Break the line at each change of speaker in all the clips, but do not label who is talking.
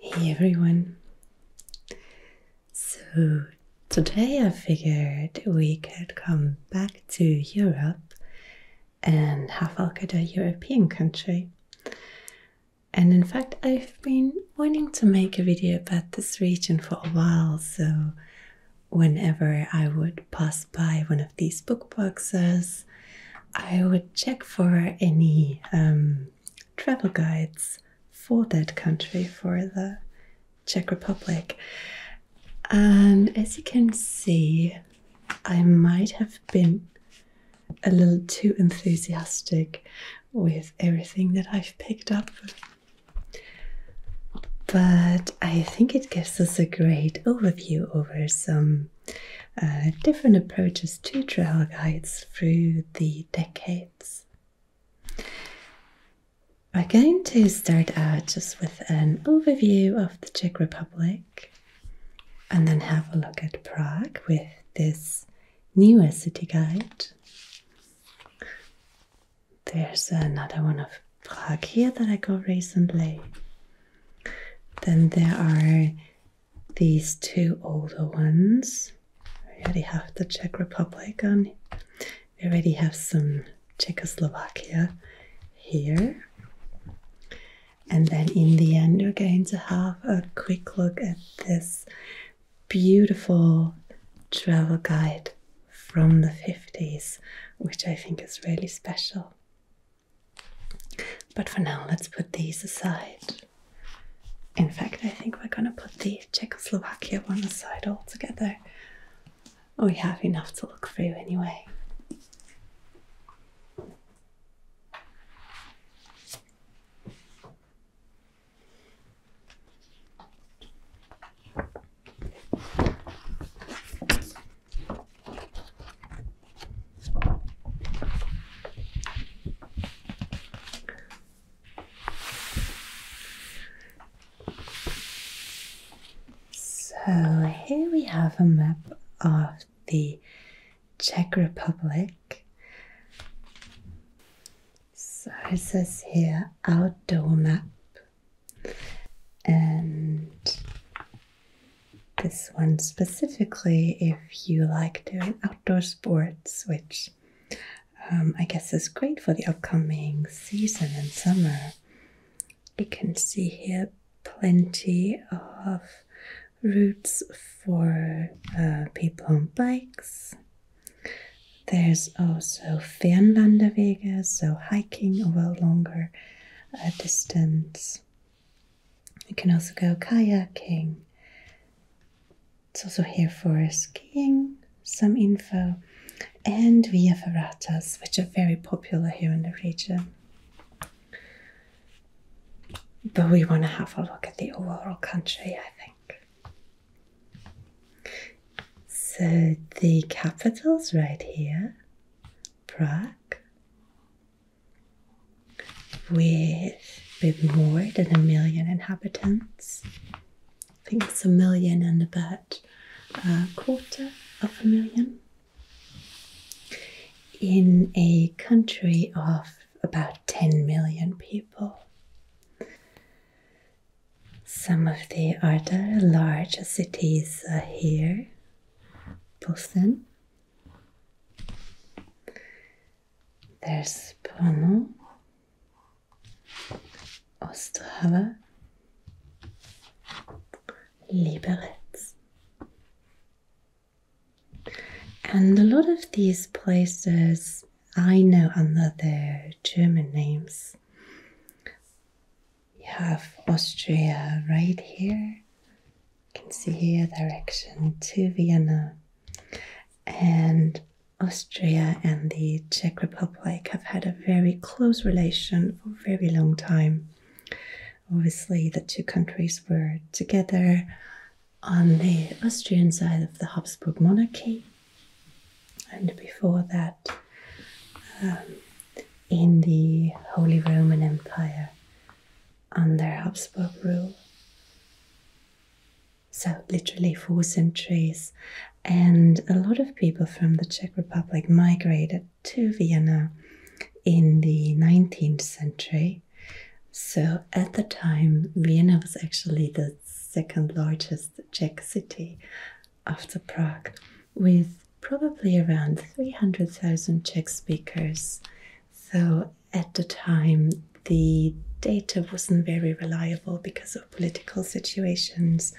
Hey everyone! So, today I figured we could come back to Europe and have a look at a European country. And in fact, I've been wanting to make a video about this region for a while, so whenever I would pass by one of these book boxes, I would check for any um, travel guides for that country, for the Czech Republic. And um, as you can see, I might have been a little too enthusiastic with everything that I've picked up. But I think it gives us a great overview over some uh, different approaches to trail guides through the decades. I'm going to start out just with an overview of the Czech Republic and then have a look at Prague with this newer city guide. There's another one of Prague here that I got recently. Then there are these two older ones. We already have the Czech Republic on. We already have some Czechoslovakia here. And then in the end, we're going to have a quick look at this beautiful travel guide from the 50s, which I think is really special. But for now, let's put these aside. In fact, I think we're gonna put the Czechoslovakia one aside altogether. We have enough to look through anyway. So here we have a map of the Czech Republic. So it says here outdoor map, and this one specifically if you like doing outdoor sports, which um, I guess is great for the upcoming season and summer. You can see here plenty of routes for uh, people on bikes. There's also Fernwanderwege, so hiking over a longer uh, distance. You can also go kayaking. It's also here for skiing, some info, and via ferratas, which are very popular here in the region. But we want to have a look at the overall country, I think. So the capital is right here, Prague with a bit more than a million inhabitants. I think it's a million and about a quarter of a million. In a country of about 10 million people. Some of the other larger cities are here Boston, there's Brno, Ostrava, Liberec. And a lot of these places I know under their German names. You have Austria right here, you can see here direction to Vienna. And Austria and the Czech Republic have had a very close relation for a very long time. Obviously, the two countries were together on the Austrian side of the Habsburg monarchy, and before that, um, in the Holy Roman Empire under Habsburg rule. So, literally four centuries. And a lot of people from the Czech Republic migrated to Vienna in the 19th century. So, at the time, Vienna was actually the second largest Czech city after Prague, with probably around 300,000 Czech speakers so at the time, the data wasn't very reliable because of political situations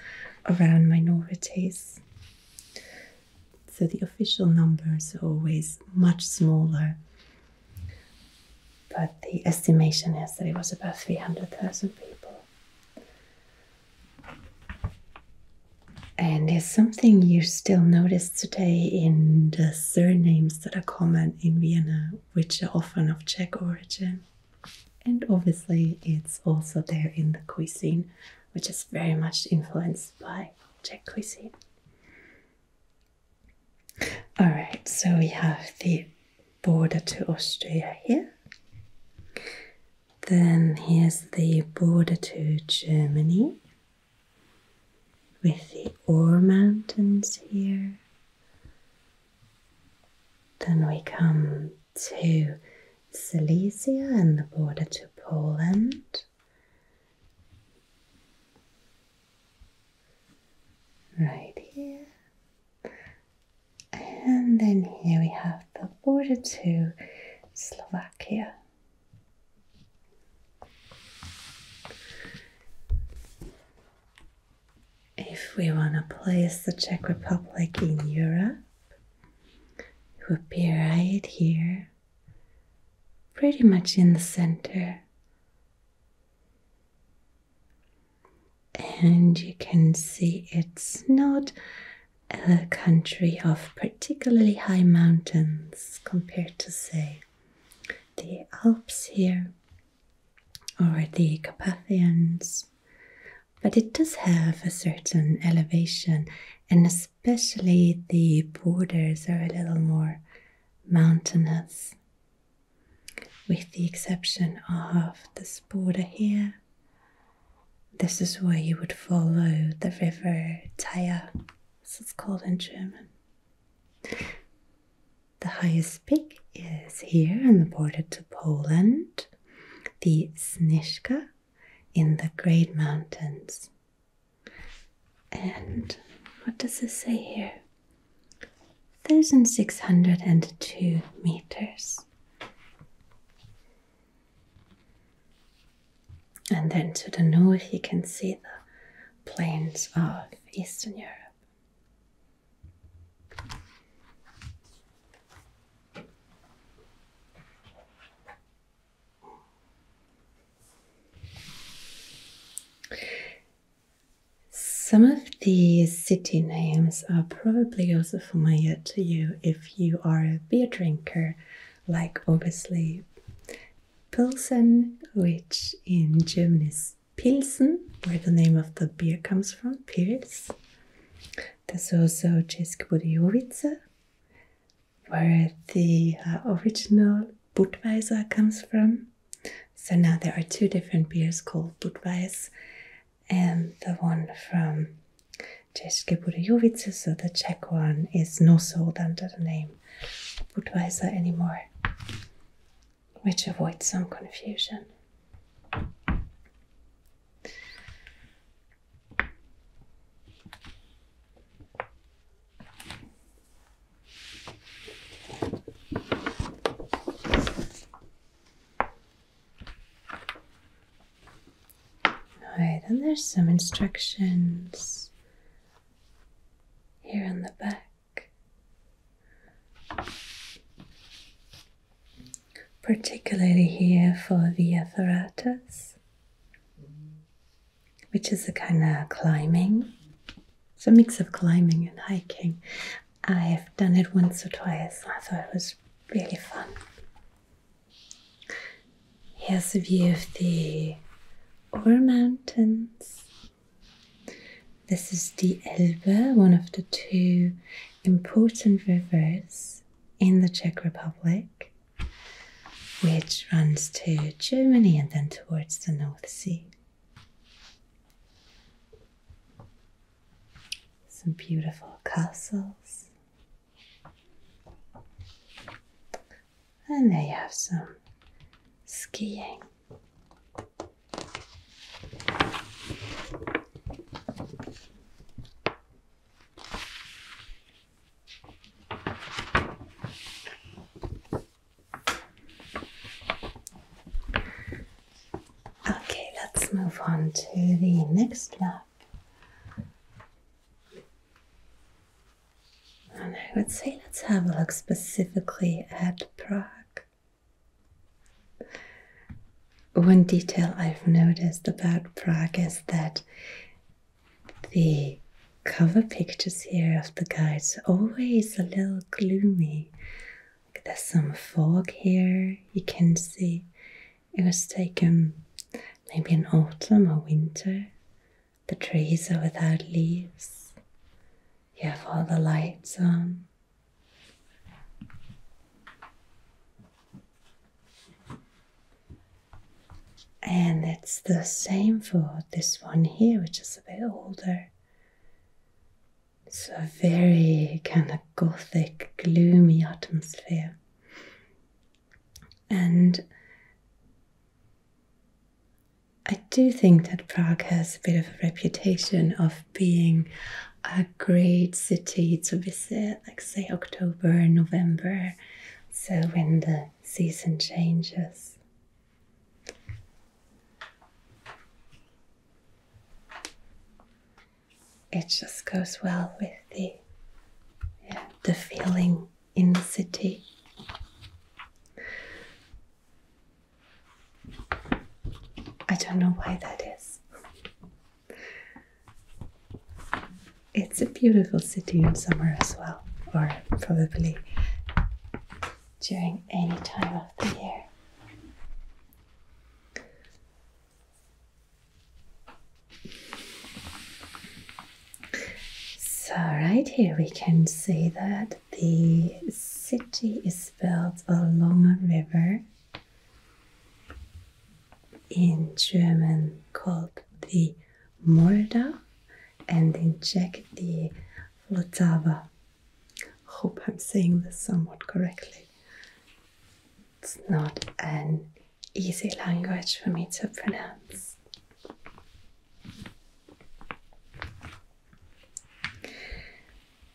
around minorities. So the official numbers are always much smaller. But the estimation is that it was about 300,000 people. And it's something you still notice today in the surnames that are common in Vienna which are often of Czech origin. And obviously, it's also there in the cuisine, which is very much influenced by Czech cuisine. All right, so we have the border to Austria here. Then here's the border to Germany with the Ore Mountains here. Then we come to Silesia and the border to Poland. Right here. And then here we have the border to Slovakia if we want to place the Czech Republic in Europe, it would be right here, pretty much in the center. And you can see it's not a country of particularly high mountains compared to, say, the Alps here or the Carpathians. But it does have a certain elevation, and especially the borders are a little more mountainous, with the exception of this border here. This is where you would follow the river Thaya, This is called in German. The highest peak is here on the border to Poland, the Snishka, in the Great Mountains. And what does it say here? 1,602 meters. And then to the north, you can see the plains of Eastern Europe. Some of the city names are probably also familiar to you if you are a beer drinker, like obviously Pilsen, which in German is Pilsen, where the name of the beer comes from, Pils. There's also Česk Budějovice, where the uh, original Budweiser comes from. So now there are two different beers called Budweiser and the one from České Budějovice, so the Czech one is not sold under the name Budweiser anymore which avoids some confusion. Alright, and there's some instructions here on the back particularly here for the atheratus, which is a kind of climbing. It's a mix of climbing and hiking. I've done it once or twice. I thought it was really fun. Here's a view of the Ore Mountains this is the Elbe, one of the two important rivers in the Czech Republic, which runs to Germany and then towards the North Sea. Some beautiful castles. And they have some skiing. Okay, let's move on to the next map. And I would say let's have a look specifically at Prague. One detail I've noticed about Prague is that the cover pictures here of the guides are always a little gloomy. there's some fog here, you can see it was taken maybe in autumn or winter. The trees are without leaves. You have all the lights on. And it's the same for this one here, which is a bit older. It's a very kind of gothic, gloomy atmosphere. And I do think that Prague has a bit of a reputation of being a great city to visit, like say October and November, so when the season changes. It just goes well with the the feeling in the city. I don't know why that is. It's a beautiful city in summer as well, or probably during any time of the year. So, right here we can see that the city is built along a river in German called the Morda and in Czech the Vltava. Hope I'm saying this somewhat correctly. It's not an easy language for me to pronounce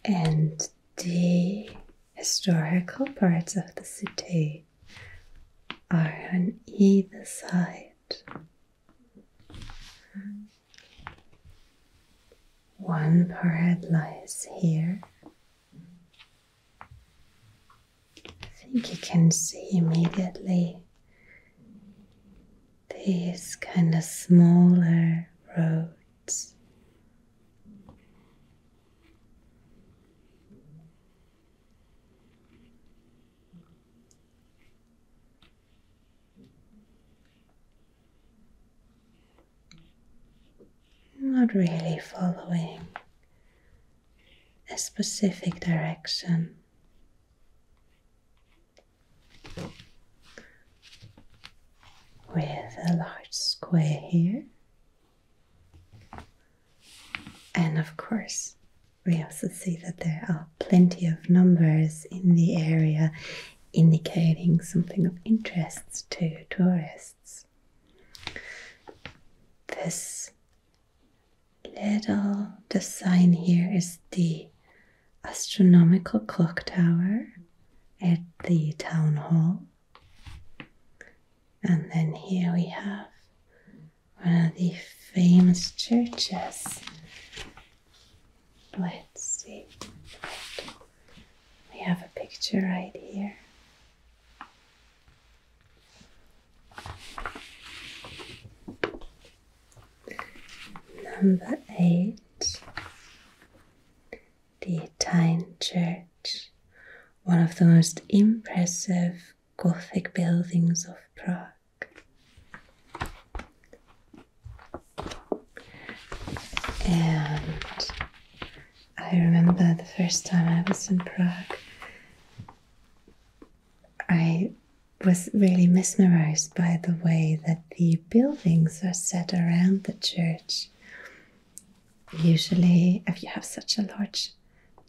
and the historical parts of the city are on either side. One part lies here. I think you can see immediately these kind of smaller roads. Not really following a specific direction with a large square here. And of course, we also see that there are plenty of numbers in the area indicating something of interest to tourists. This little design here is D astronomical clock tower at the town hall. And then here we have one of the famous churches. Let's see. We have a picture right here. Number eight the Tyne Church, one of the most impressive Gothic buildings of Prague. And I remember the first time I was in Prague, I was really mesmerized by the way that the buildings are set around the church. Usually, if you have such a large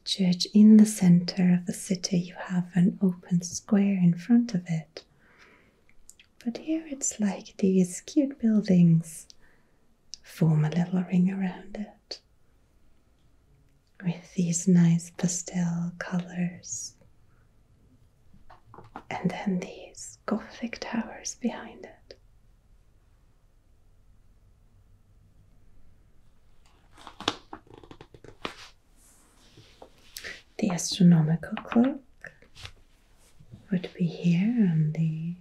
church in the center of the city, you have an open square in front of it. But here it's like these cute buildings form a little ring around it with these nice pastel colors and then these Gothic towers behind it. The astronomical clock would be here on the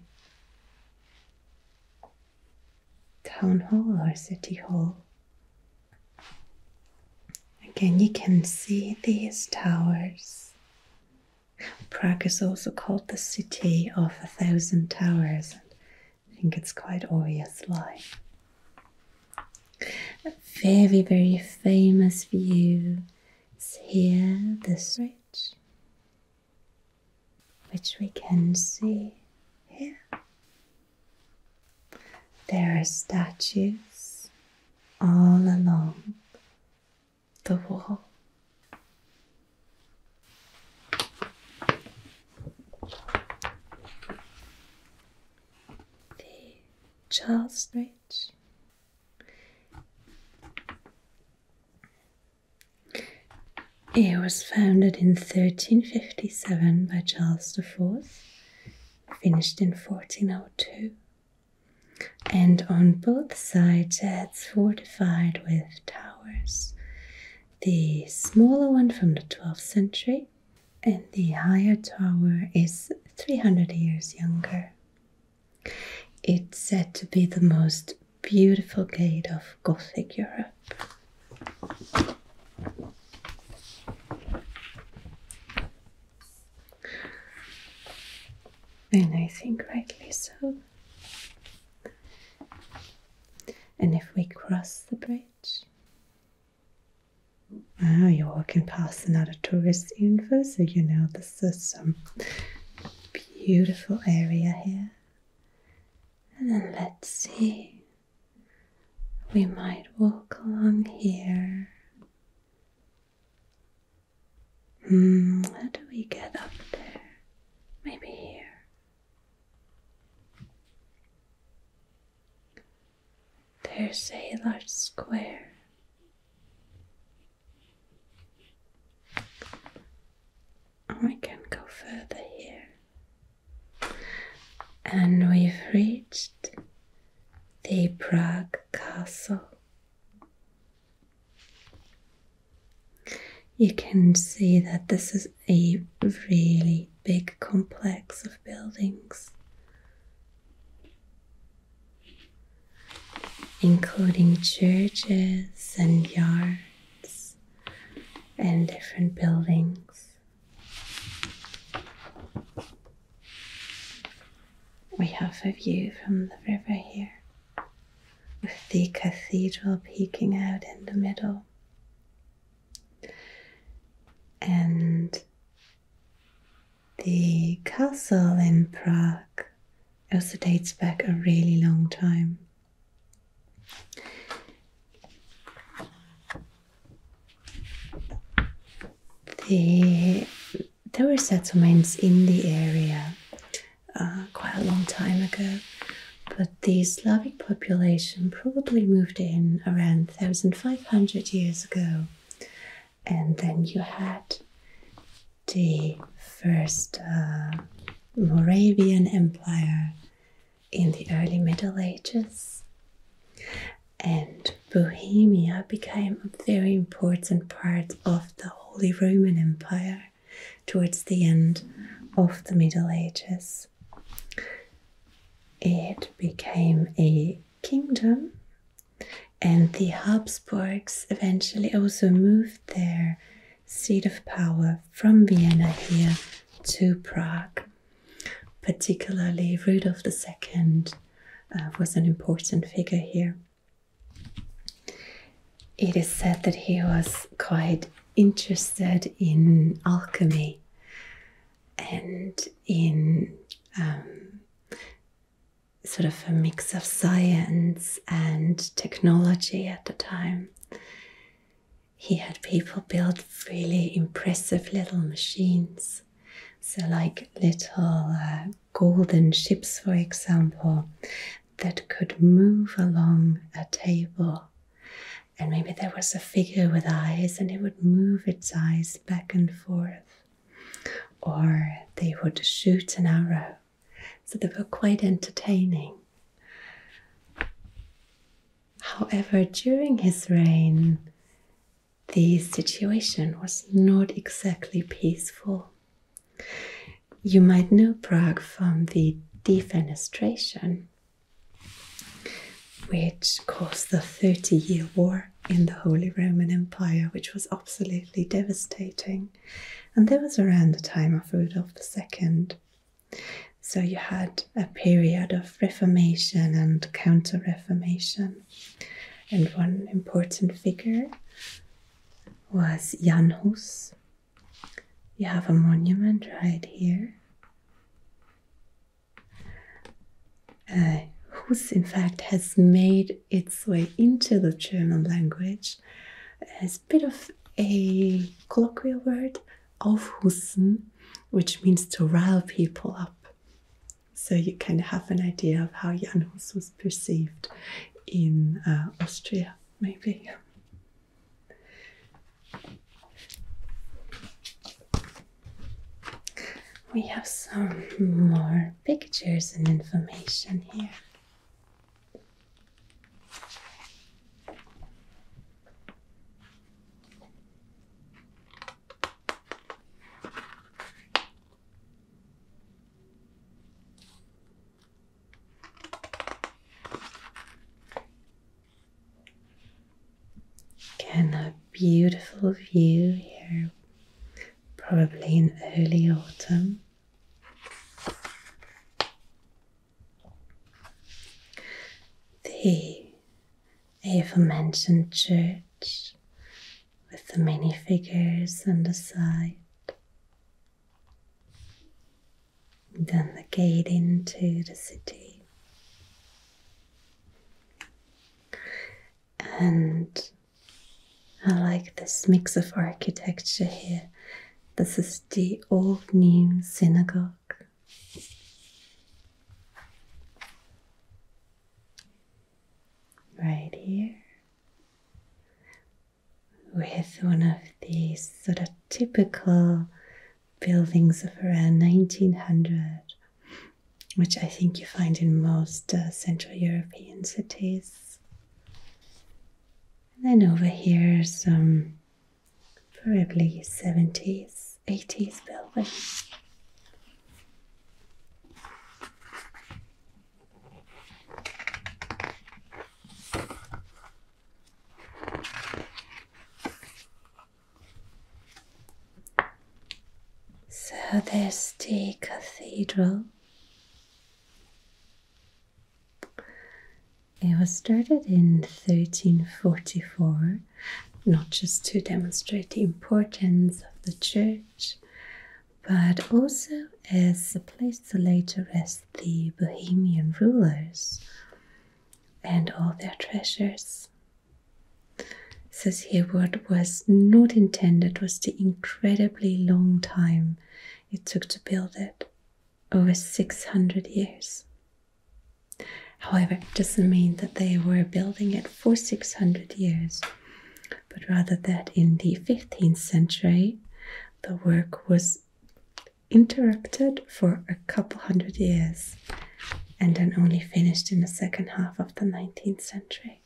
town hall or city hall. Again, you can see these towers Prague is also called the city of a thousand towers. I think it's quite obvious why. A very, very famous view is here, this ridge, which we can see here. There are statues all along the wall. Charles Bridge. It was founded in 1357 by Charles IV, finished in 1402 and on both sides it's fortified with towers. The smaller one from the 12th century, and the higher tower is 300 years younger. It's said to be the most beautiful gate of Gothic Europe and I think rightly so. And if we cross the bridge, oh, you're walking past another tourist info, so you know this is some beautiful area here. And then let's see, we might walk along here how hmm, do we get up there? Maybe here. There's a large square. We oh, can go further here. And we've reached the Prague Castle. You can see that this is a really big complex of buildings, including churches and yards and different buildings. We have a view from the river here with the cathedral peeking out in the middle. And the castle in Prague also dates back a really long time. The there were settlements in the area uh, quite a long time ago, but the Slavic population probably moved in around 1500 years ago, and then you had the first uh, Moravian Empire in the early Middle Ages. And Bohemia became a very important part of the Holy Roman Empire towards the end of the Middle Ages. It became a kingdom, and the Habsburgs eventually also moved their seat of power from Vienna here to Prague. Particularly, Rudolf II uh, was an important figure here. It is said that he was quite interested in alchemy and in um, sort of a mix of science and technology at the time. He had people build really impressive little machines, so like little uh, golden ships, for example, that could move along a table. And maybe there was a figure with eyes and it would move its eyes back and forth. Or they would shoot an arrow. So they were quite entertaining. However, during his reign, the situation was not exactly peaceful. You might know Prague from the defenestration, which caused the Thirty Year War in the Holy Roman Empire, which was absolutely devastating. And that was around the time of Rudolf II. So you had a period of Reformation and Counter Reformation. And one important figure was Jan Hus, you have a monument right here, uh, whose in fact has made its way into the German language. It's a bit of a colloquial word, aufhussen, which means to rile people up. So you can have an idea of how Jan Hus was perceived in uh, Austria maybe. We have some more pictures and information here. Again, a beautiful view here, probably in early autumn. The aforementioned church with the many figures on the side. Then the gate into the city. And I like this mix of architecture here. This is the old new synagogue. Right here with one of these sort of typical buildings of around 1900, which I think you find in most uh, Central European cities. And then over here, some probably 70s, 80s buildings. So there's cathedral. It was started in 1344, not just to demonstrate the importance of the church, but also as a place to lay to rest the Bohemian rulers and all their treasures. Says here, what was not intended was the incredibly long time it took to build it over 600 years. However, it doesn't mean that they were building it for 600 years, but rather that in the 15th century the work was interrupted for a couple hundred years and then only finished in the second half of the 19th century.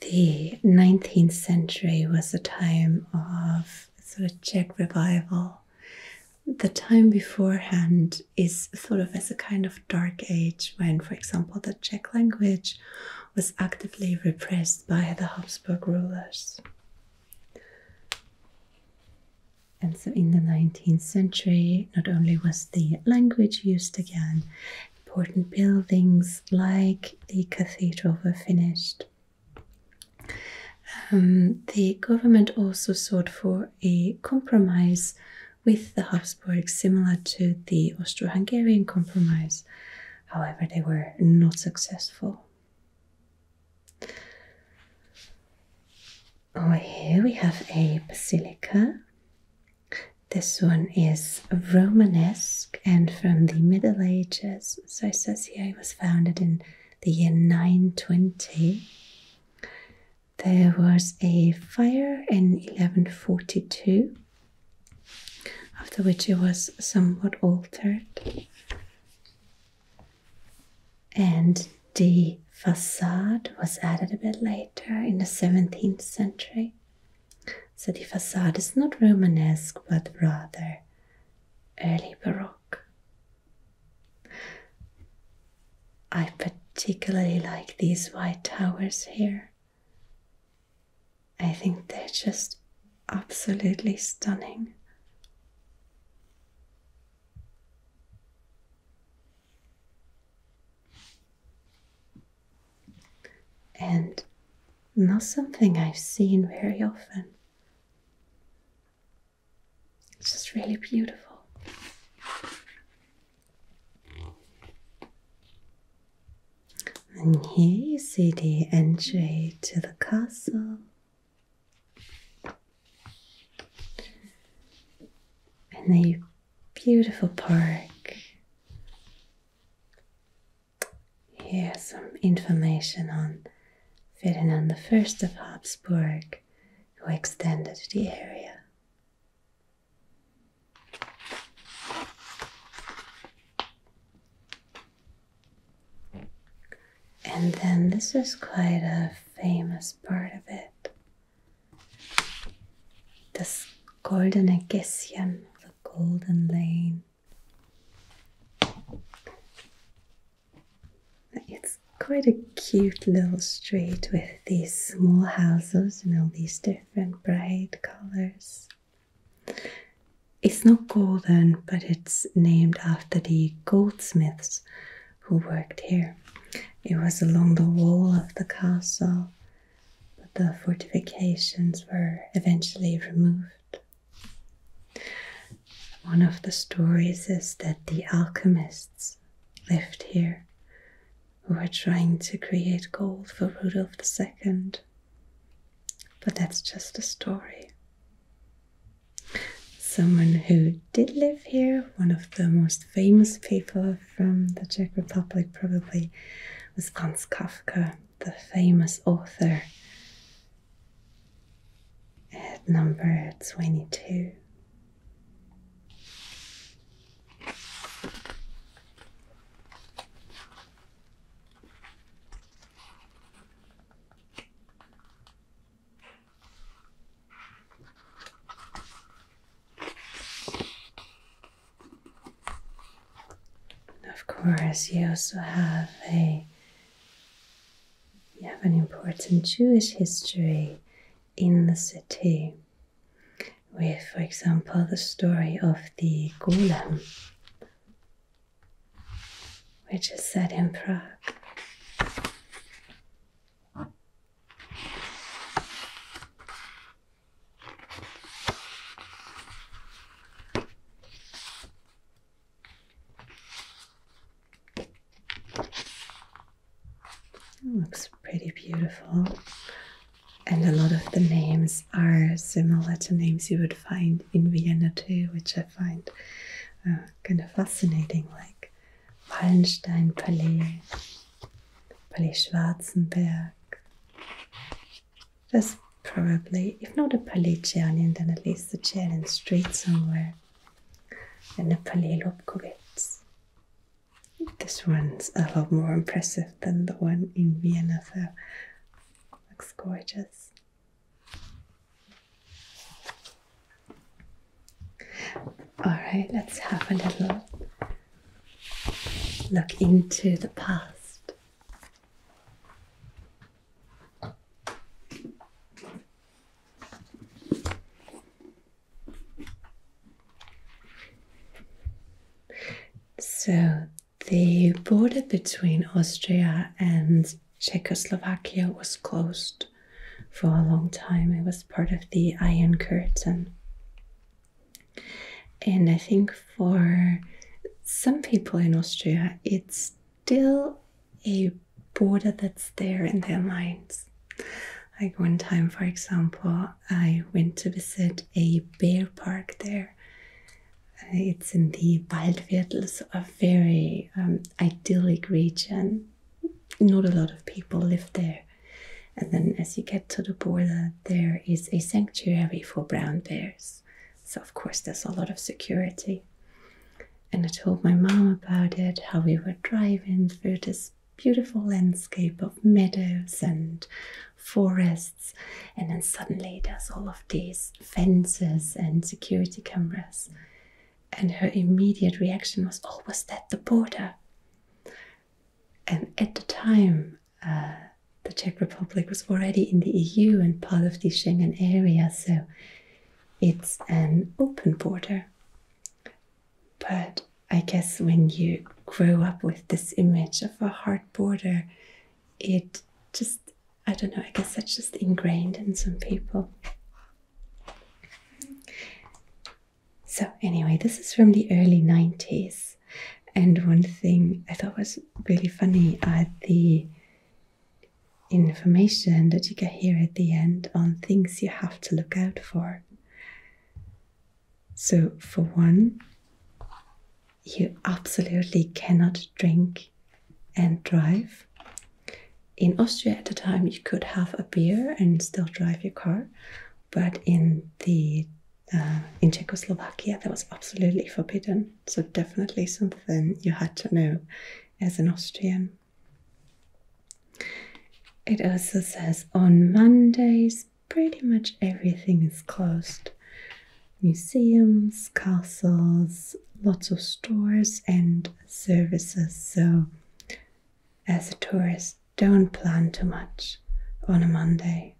The 19th century was a time of sort of Czech revival. The time beforehand is thought of as a kind of dark age when, for example, the Czech language was actively repressed by the Habsburg rulers. And so in the 19th century, not only was the language used again, important buildings like the cathedral were finished. Um, the government also sought for a compromise with the Habsburgs, similar to the Austro Hungarian compromise, However, they were not successful. Over oh, here we have a basilica. This one is Romanesque and from the Middle Ages. So it says here it was founded in the year 920. There was a fire in 1142 after which it was somewhat altered. And the facade was added a bit later in the 17th century. So the facade is not Romanesque but rather early Baroque. I particularly like these white towers here. I think they're just absolutely stunning. And not something I've seen very often. It's just really beautiful. And here you see the entry to the castle. And a beautiful park. Here's some information on Ferdinand I of Habsburg, who extended the area. And then this is quite a famous part of it. Das Golden Gässchen, the golden lane. It's quite a cute little street with these small houses and all these different bright colors. It's not golden, but it's named after the goldsmiths who worked here. It was along the wall of the castle, but the fortifications were eventually removed. One of the stories is that the alchemists lived here who were trying to create gold for Rudolf II. But that's just a story. Someone who did live here, one of the most famous people from the Czech Republic, probably, was Franz Kafka, the famous author, at number 22. Of course, you also have a you have an important Jewish history in the city with, for example, the story of the golem which is set in Prague. It looks pretty beautiful, and a lot of the names are similar to names you would find in Vienna too, which I find uh, kind of fascinating, like Wallenstein Palace, Palais Schwarzenberg. There's probably, if not a Palais Czernin, then at least a in the Street somewhere, and a Palais Lobkowitz. This one's a lot more impressive than the one in Vienna, though. looks gorgeous. All right, let's have a little look into the past. So, the border between Austria and Czechoslovakia was closed for a long time. It was part of the Iron Curtain. And I think for some people in Austria, it's still a border that's there in their minds. Like one time, for example, I went to visit a bear park there it's in the Waldviertel, so a very um, idyllic region. Not a lot of people live there. And then, as you get to the border, there is a sanctuary for brown bears. So, of course, there's a lot of security. And I told my mom about it, how we were driving through this beautiful landscape of meadows and forests. And then suddenly there's all of these fences and security cameras. And her immediate reaction was, Oh, was that the border? And at the time, uh, the Czech Republic was already in the EU and part of the Schengen area, so it's an open border. But I guess when you grow up with this image of a hard border, it just I don't know, I guess that's just ingrained in some people. So, anyway, this is from the early 90s. And one thing I thought was really funny are the information that you get here at the end on things you have to look out for. So, for one, you absolutely cannot drink and drive. In Austria at the time, you could have a beer and still drive your car, but in the uh, in Czechoslovakia, that was absolutely forbidden. So definitely something you had to know as an Austrian. It also says on Mondays, pretty much everything is closed museums, castles, lots of stores and services. So, as a tourist, don't plan too much on a Monday.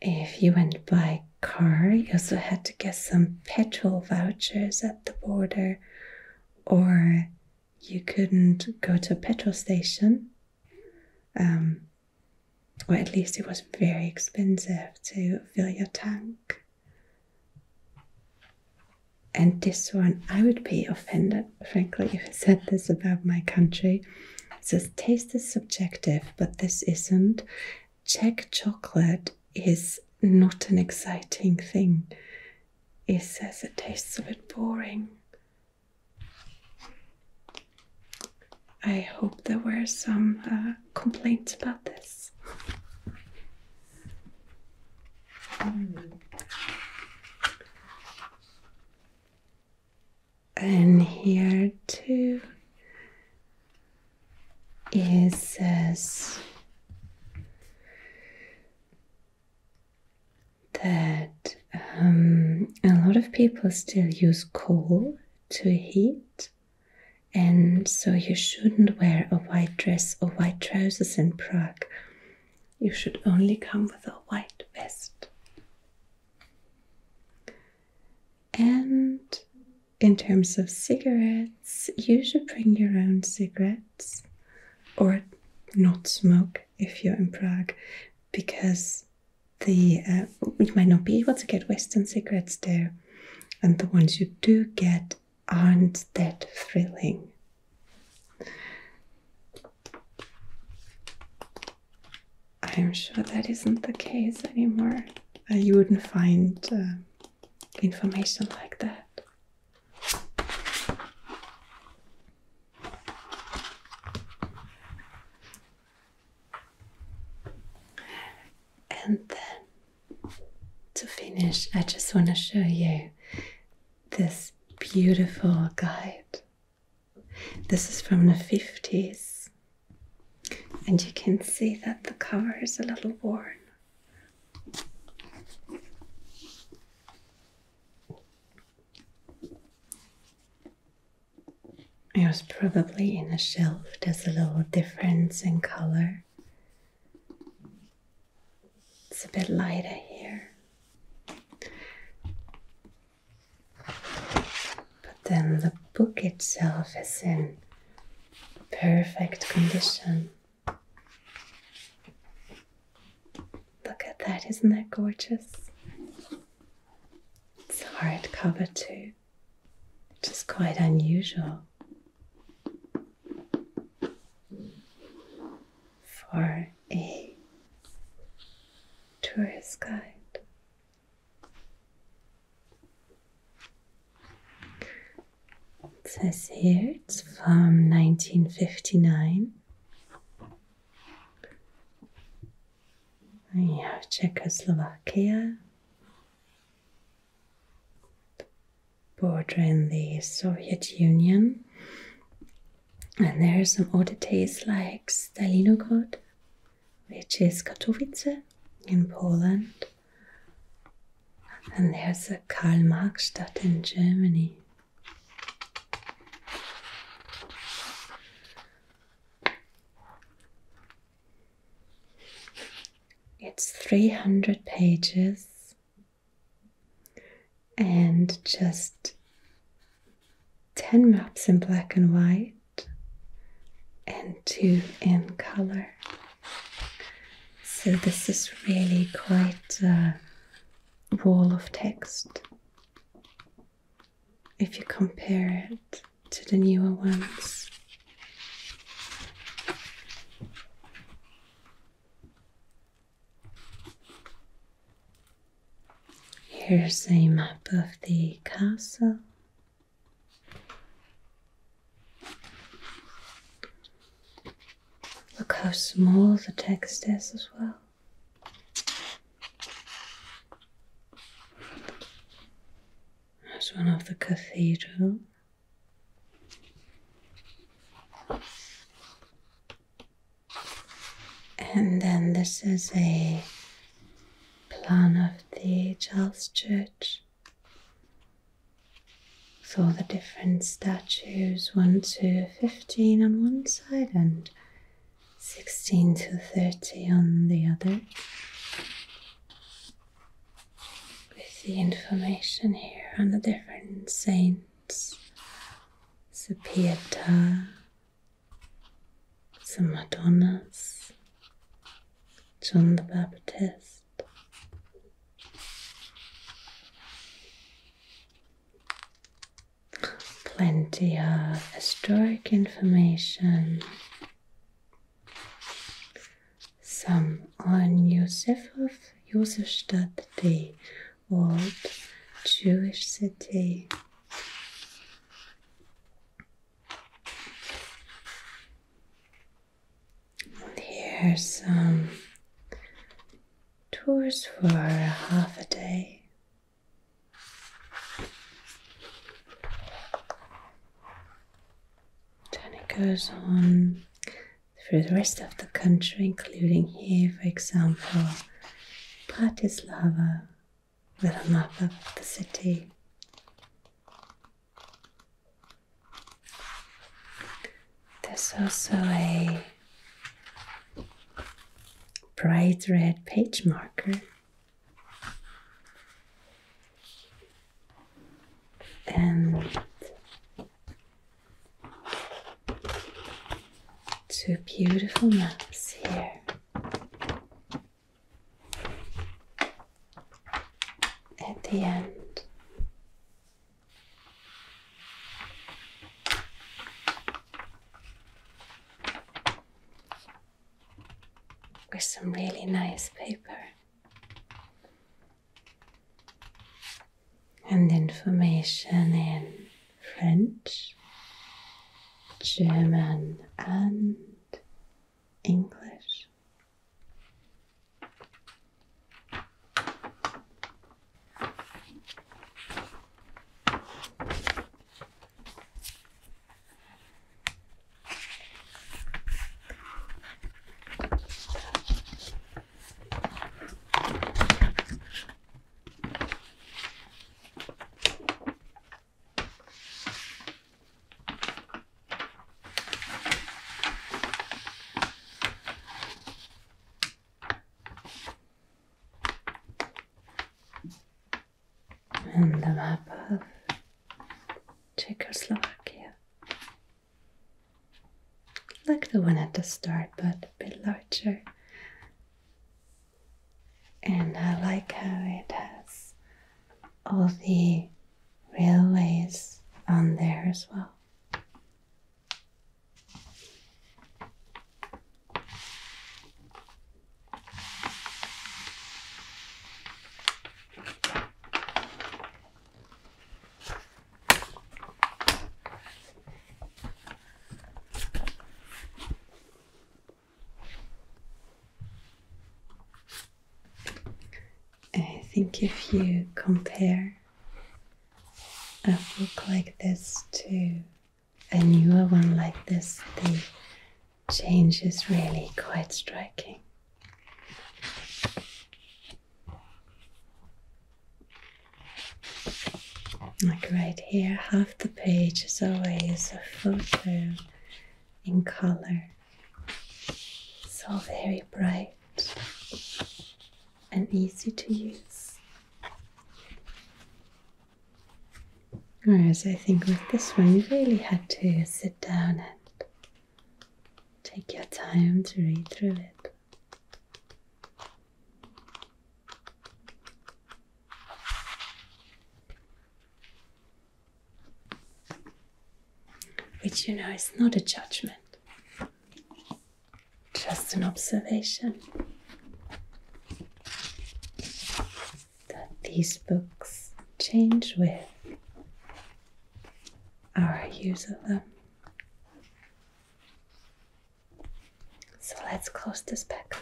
If you went by car, you also had to get some petrol vouchers at the border, or you couldn't go to a petrol station. Um, or at least it was very expensive to fill your tank. And this one, I would be offended, frankly, if he said this about my country. It says taste is subjective, but this isn't. Czech chocolate is not an exciting thing. It says it tastes a bit boring. I hope there were some uh, complaints about this. And here too it says that um, a lot of people still use coal to heat and so you shouldn't wear a white dress or white trousers in Prague. You should only come with a white vest. And in terms of cigarettes, you should bring your own cigarettes or not smoke if you're in Prague because the uh, might not be able to get Western cigarettes there, and the ones you do get aren't that thrilling. I'm sure that isn't the case anymore. Uh, you wouldn't find uh, information like that. And then to finish, I just want to show you this beautiful guide. This is from the 50s, and you can see that the cover is a little worn. It was probably in a shelf, there's a little difference in color. It's a bit lighter here. But then the book itself is in perfect condition. Look at that, isn't that gorgeous? It's hard cover too which is quite unusual for a tourist guide. It says here it's from 1959. We have Czechoslovakia, Bordering the Soviet Union. And there's are some oddities like Stalinograd, which is Katowice in Poland. And there's the Karl Marx Stadt in Germany. It's 300 pages and just 10 maps in black and white and two in color. So this is really quite a wall of text if you compare it to the newer ones. Here's a map of the castle. Look how small the text is as well. That's one of the cathedral. And then this is a plan of the Charles Church. So the different statues, 1 to 15 on one side and 16 to 30 on the other with the information here on the different saints. The Pietà, the Madonnas, John the Baptist. Plenty of historic information some on Josef of Josefstadt, the old Jewish city. And here are some tours for half a day. Then it goes on through the rest of the country, including here, for example, Bratislava, with a map of the city. There's also a bright red page marker and two beautiful maps here. At the end, with some really nice paper and information in French, German, and English. And the map of Czechoslovakia. Like the one at the start, but a bit larger. And I like how it has all the railways on there as well. I think if you compare a book like this to a newer one like this, the change is really quite striking. Like right here, half the page is always a photo in color, so very bright and easy to use. Whereas I think with this one, you really had to sit down and Take your time to read through it. Which you know is not a judgment, just an observation that these books change with our use of them. So let's close this back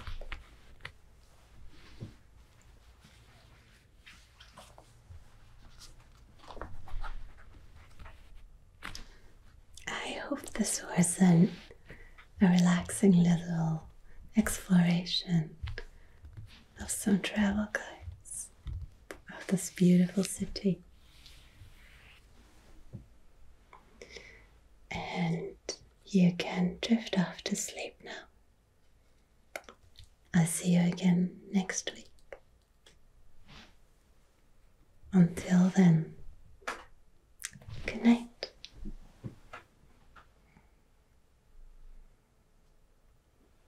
I hope this was an, a relaxing little exploration of some travel guides of this beautiful city. And you can drift off to sleep now. I'll see you again next week. Until then, good night.